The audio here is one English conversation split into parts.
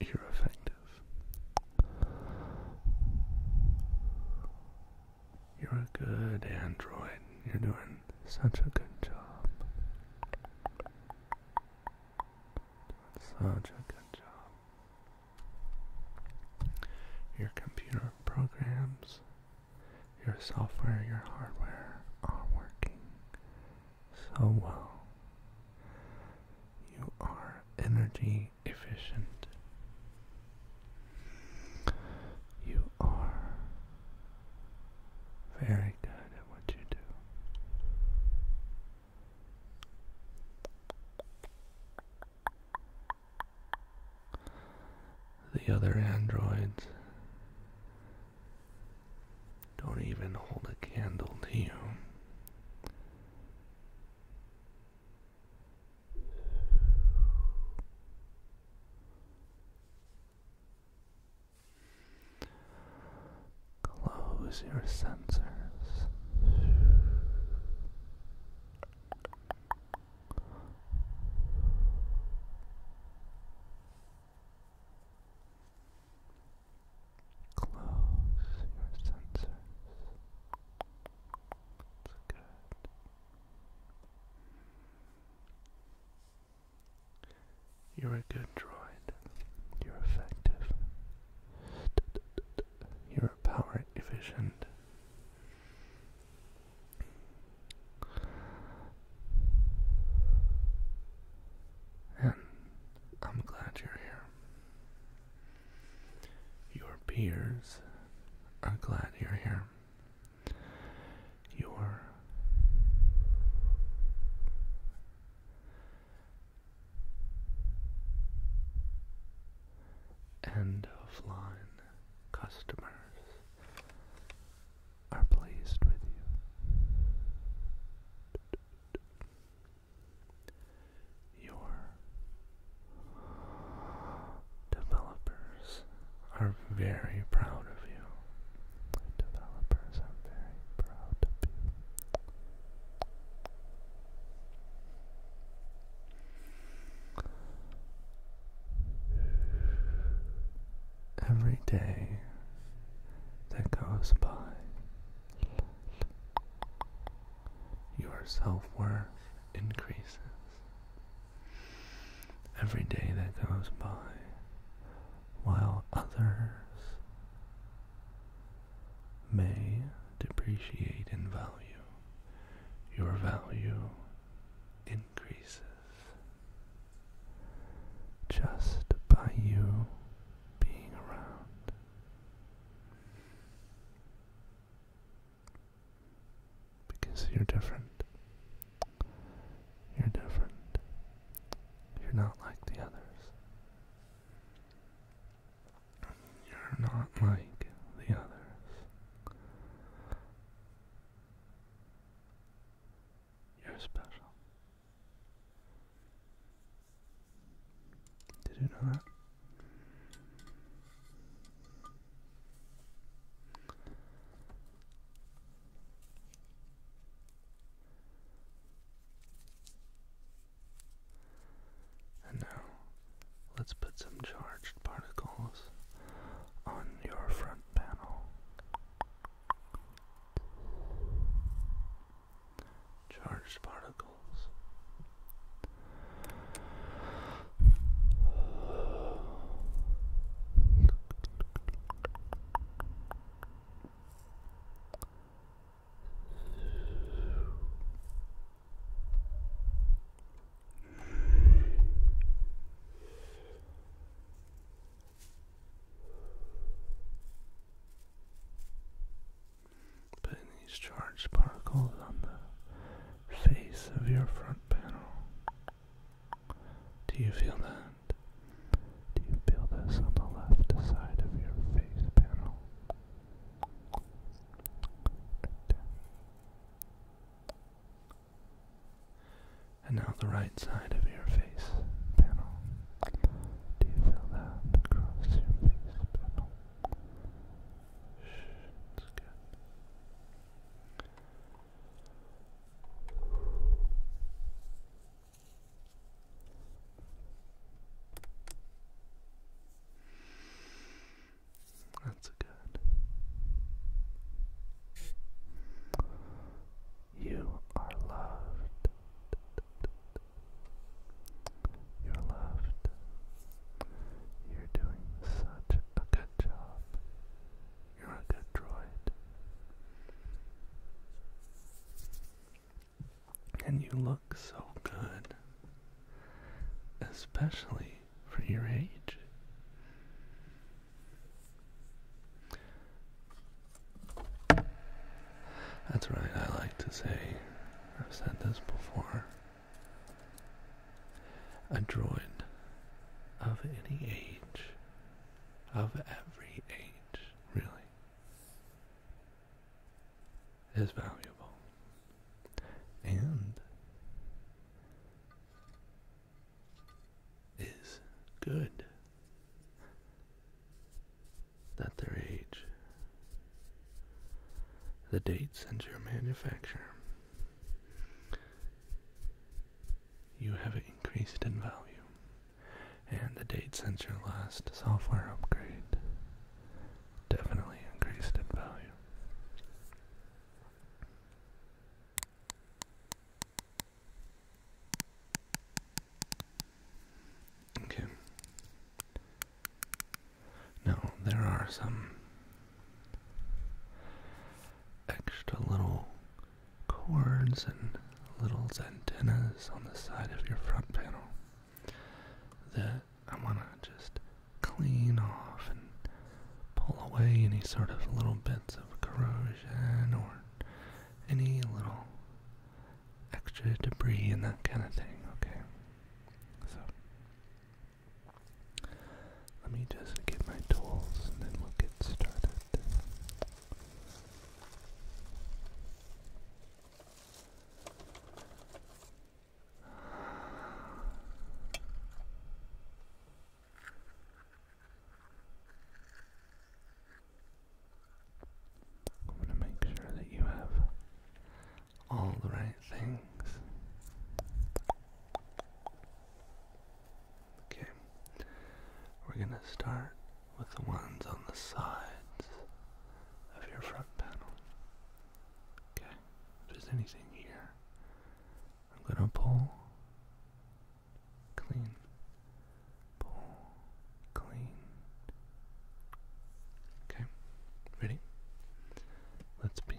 You're effective. You're a good android. You're doing such a good job. such a good job. Your computer programs, your software, your hardware are working so well. You are energy efficient. You are very good at what you do. The other androids don't even hold a candle to you. Close your sensors. Close your sensors. That's good. You're a good droid. You're effective. You're power efficient. And I'm glad you're here. Your peers are glad you're here. Your end of line customers are pleased with you. Your developers are very proud of you. Developers are very proud of you. Every day that goes by your self worth increases. Every day that goes by, while others may depreciate in value, your value increases. Just by you being around. Because you're different. You're different. You're not like the others. You're not like the others. You're special. Did you know that? And now, let's put some charged particles on your front panel charged particles. Putting these charged particles on the face of your front panel. Do you feel that? Do you feel this on the left side of your face panel? And now the right side of your face face panel? Do you feel that across your face panel? Shh, good. That's good. You are loved. You're loved. You're doing such a good job. You're a good droid. And you look so good. Especially for your age. That's right, I like to say, I've said this before. A drawing of any age, of every age, really, is valuable. And is good that their age, the dates since your manufacture, you have increased in value, and the dates since your last software upgrade definitely increased in value. Okay. Now, there are some extra little cords and little antennas on the side of your front panel that I want to just clean off and pull away any sort of little bits of corrosion or any little extra debris and that kind of thing, okay? So, let me just get my tools and then we'll get started. I'm going to make sure that you have all the right things. Okay, we're going to start with the ones on the sides of your front panel. Okay, if there's anything here, I'm going to pull clean pull, clean. Okay, ready? Let's begin.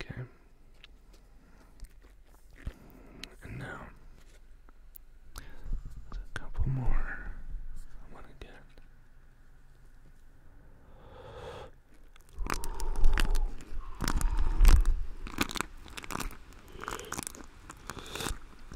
Okay. And now, a couple more I want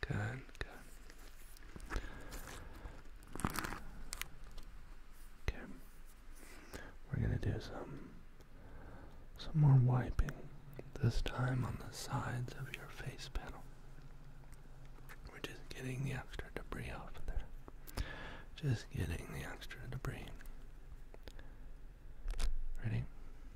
Good, Okay. We're gonna do some some more wiping, this time on the sides of your face panel. We're just getting the extra debris off of there. Just getting the extra debris. Ready?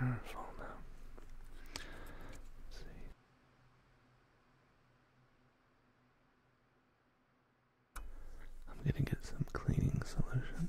Your now. see. I'm gonna get some cleaning solution.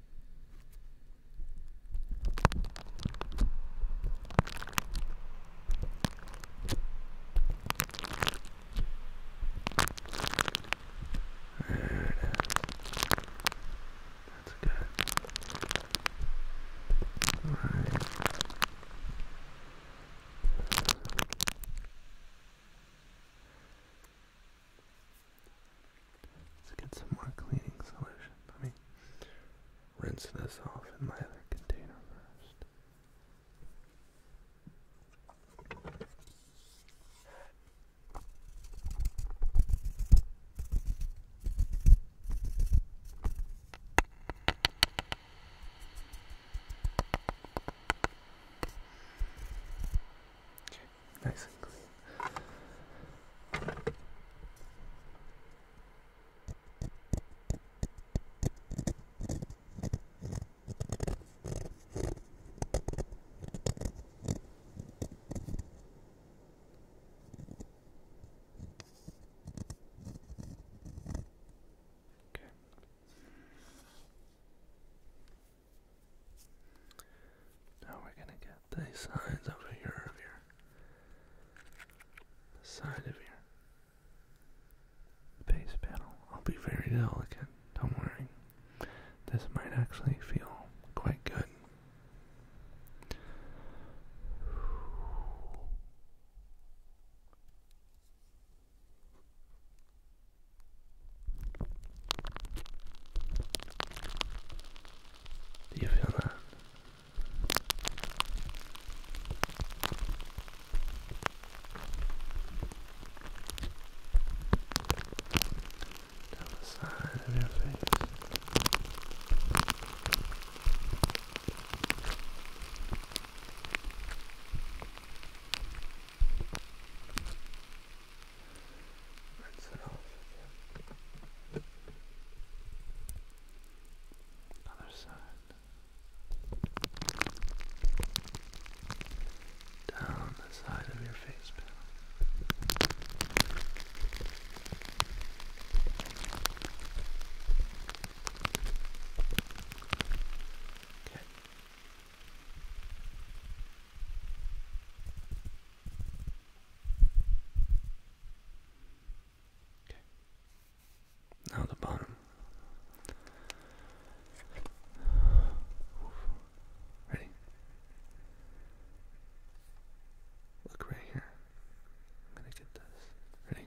That's good. All right. Let's get some more cleaning solution. Let me rinse this off in my other container first nice and clean. Okay. Now we're gonna get the sides over here of your the side of your base panel. I'll be very delicate, don't worry. This might actually feel quite good. Do you feel that? Down the side of your face. Rinse it off again. Other side. Down the side of your face Okay. Now the bottom. Ready? Look right here. I'm gonna get this. Ready?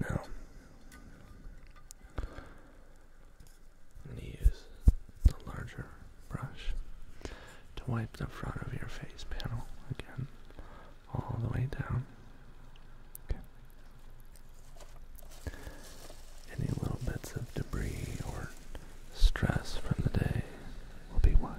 Now, going to use the larger brush to wipe the front of your face panel again, all the way down. Any little bits of debris or stress from the day will be wiped.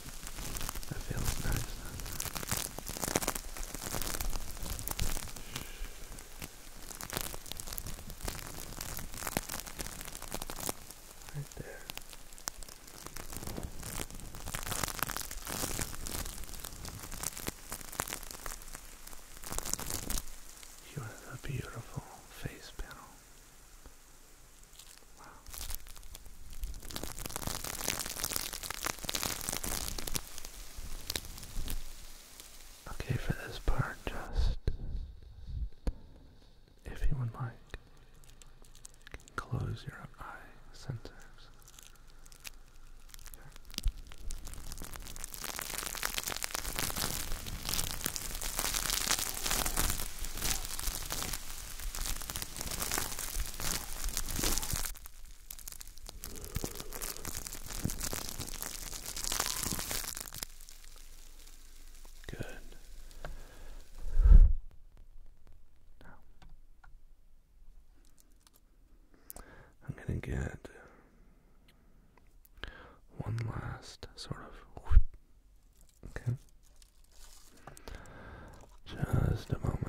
That feels nice. Right there. You have a beautiful face panel. Okay, for this part, just if you would like, close your eye sensors. Good. Now, I'm going to get one last sort of Okay. Just a moment.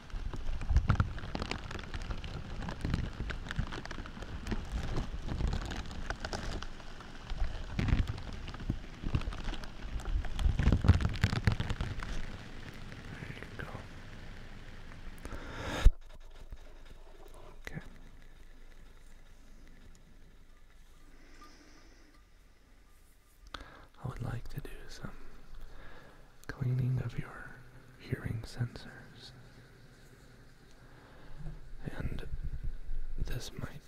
you go. Okay. I would like to do some cleaning of your hearing sensors. And this might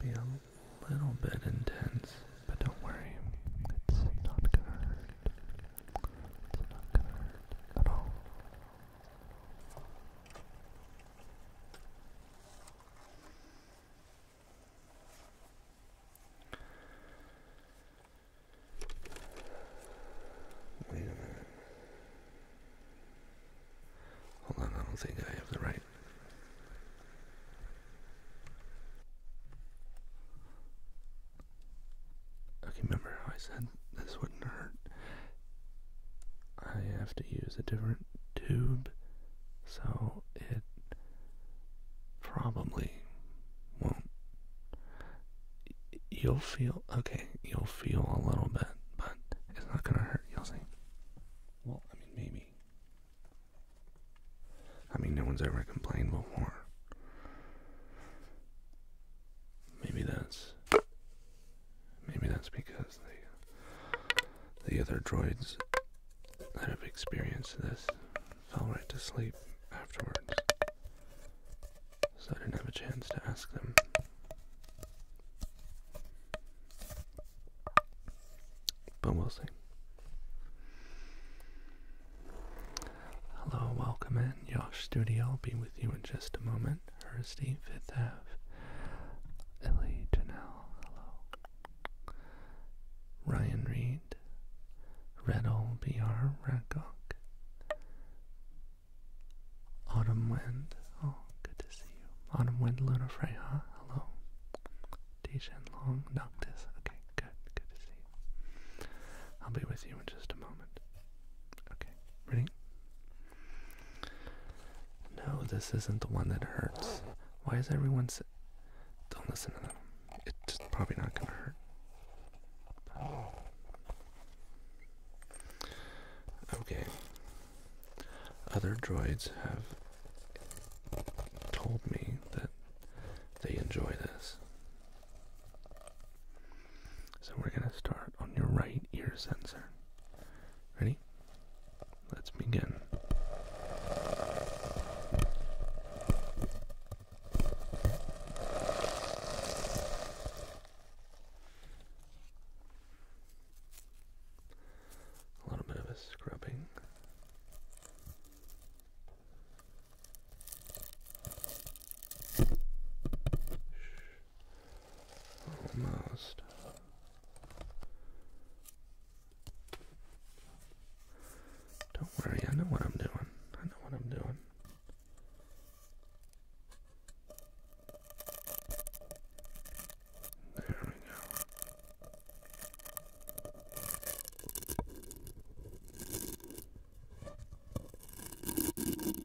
be a little bit intense, but don't worry, it's not gonna hurt. It's not gonna hurt at all. Wait a minute. Hold on, I don't think I have the right. Okay, remember how I said this wouldn't hurt? I have to use a different tube, so it probably won't you'll feel okay, you'll feel a little bit, but it's not gonna hurt, you'll see. Well, I mean, maybe. I mean, no one's ever complained before. Maybe that's. Maybe that's because the the other droids that have experienced this fell right to sleep afterwards, so I didn't have a chance to ask them. But we'll see. Hello, welcome in. Yosh Studio i will be with you in just a moment. Hursty, Fifth Ave. Ellie Janelle, hello. Ryan Reed, Knight, Reddle BR Ragok, Autumn Wind, oh good to see you. Autumn Wind Luna Freya, hello. Deshan Long, Noctis, okay, good, good to see you. I'll be with you in just a moment. Okay, ready? No, this isn't the one that hurts. Why is everyone sit? Don't listen to them it's probably not going to hurt. Okay. Other droids have told me that they enjoy this. So we're going to start on your right ear sensor. Ready? Let's begin. A little bit of a scrubbing. Almost. Don't worry, I know what I'm doing. I know what I'm doing. There we go. Good.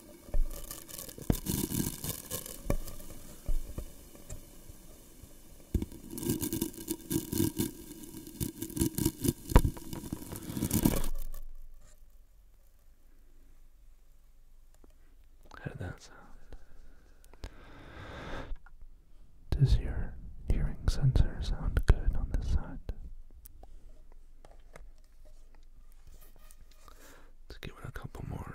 How did that sound? Does your hearing sensor sound good on this side? Let's give it a couple more.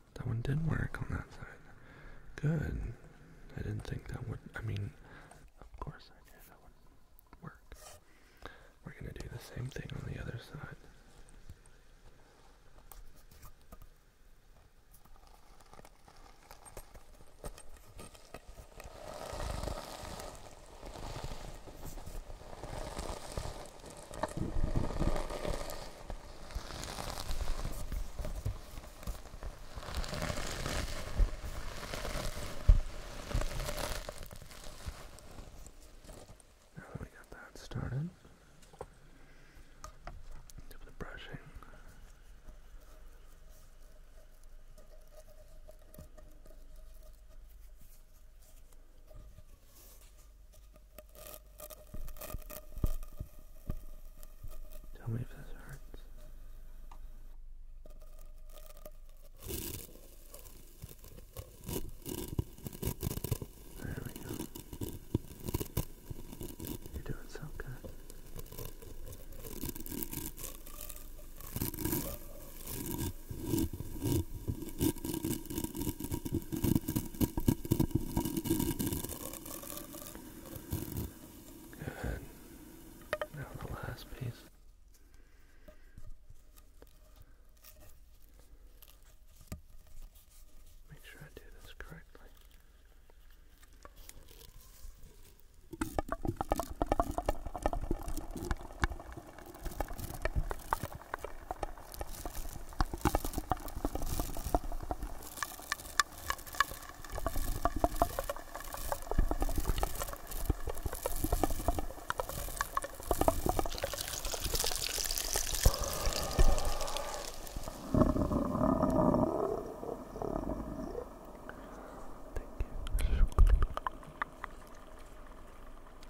That one did work on that side. Good. I didn't think that would. I mean, of course I did. That would work. We're gonna do the same thing on the other side. Now that we got that started, do the brushing. Tell me if this hurts. There we go. You're doing so good. Good. Now the last piece. Make sure I do this correctly.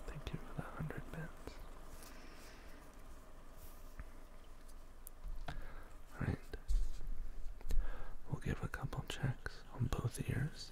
Thank you for the hundred bits. Alright. We'll give a couple checks on both ears.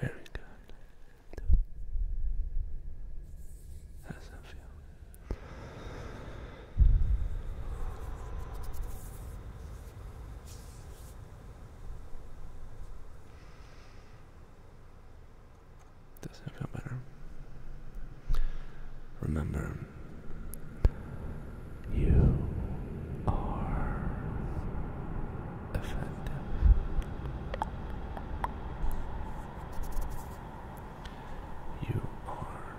Very good. How does that feel? Doesn't feel better. Remember, you are effective. You are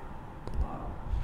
loved.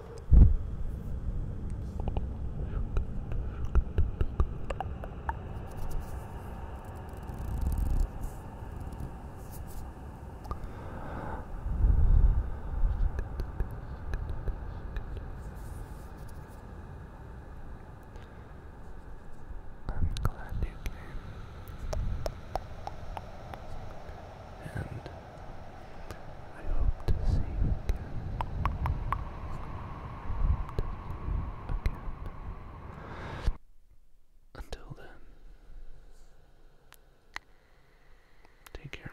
I'm glad you came. And I hope to see you again. I again. Until then, take care.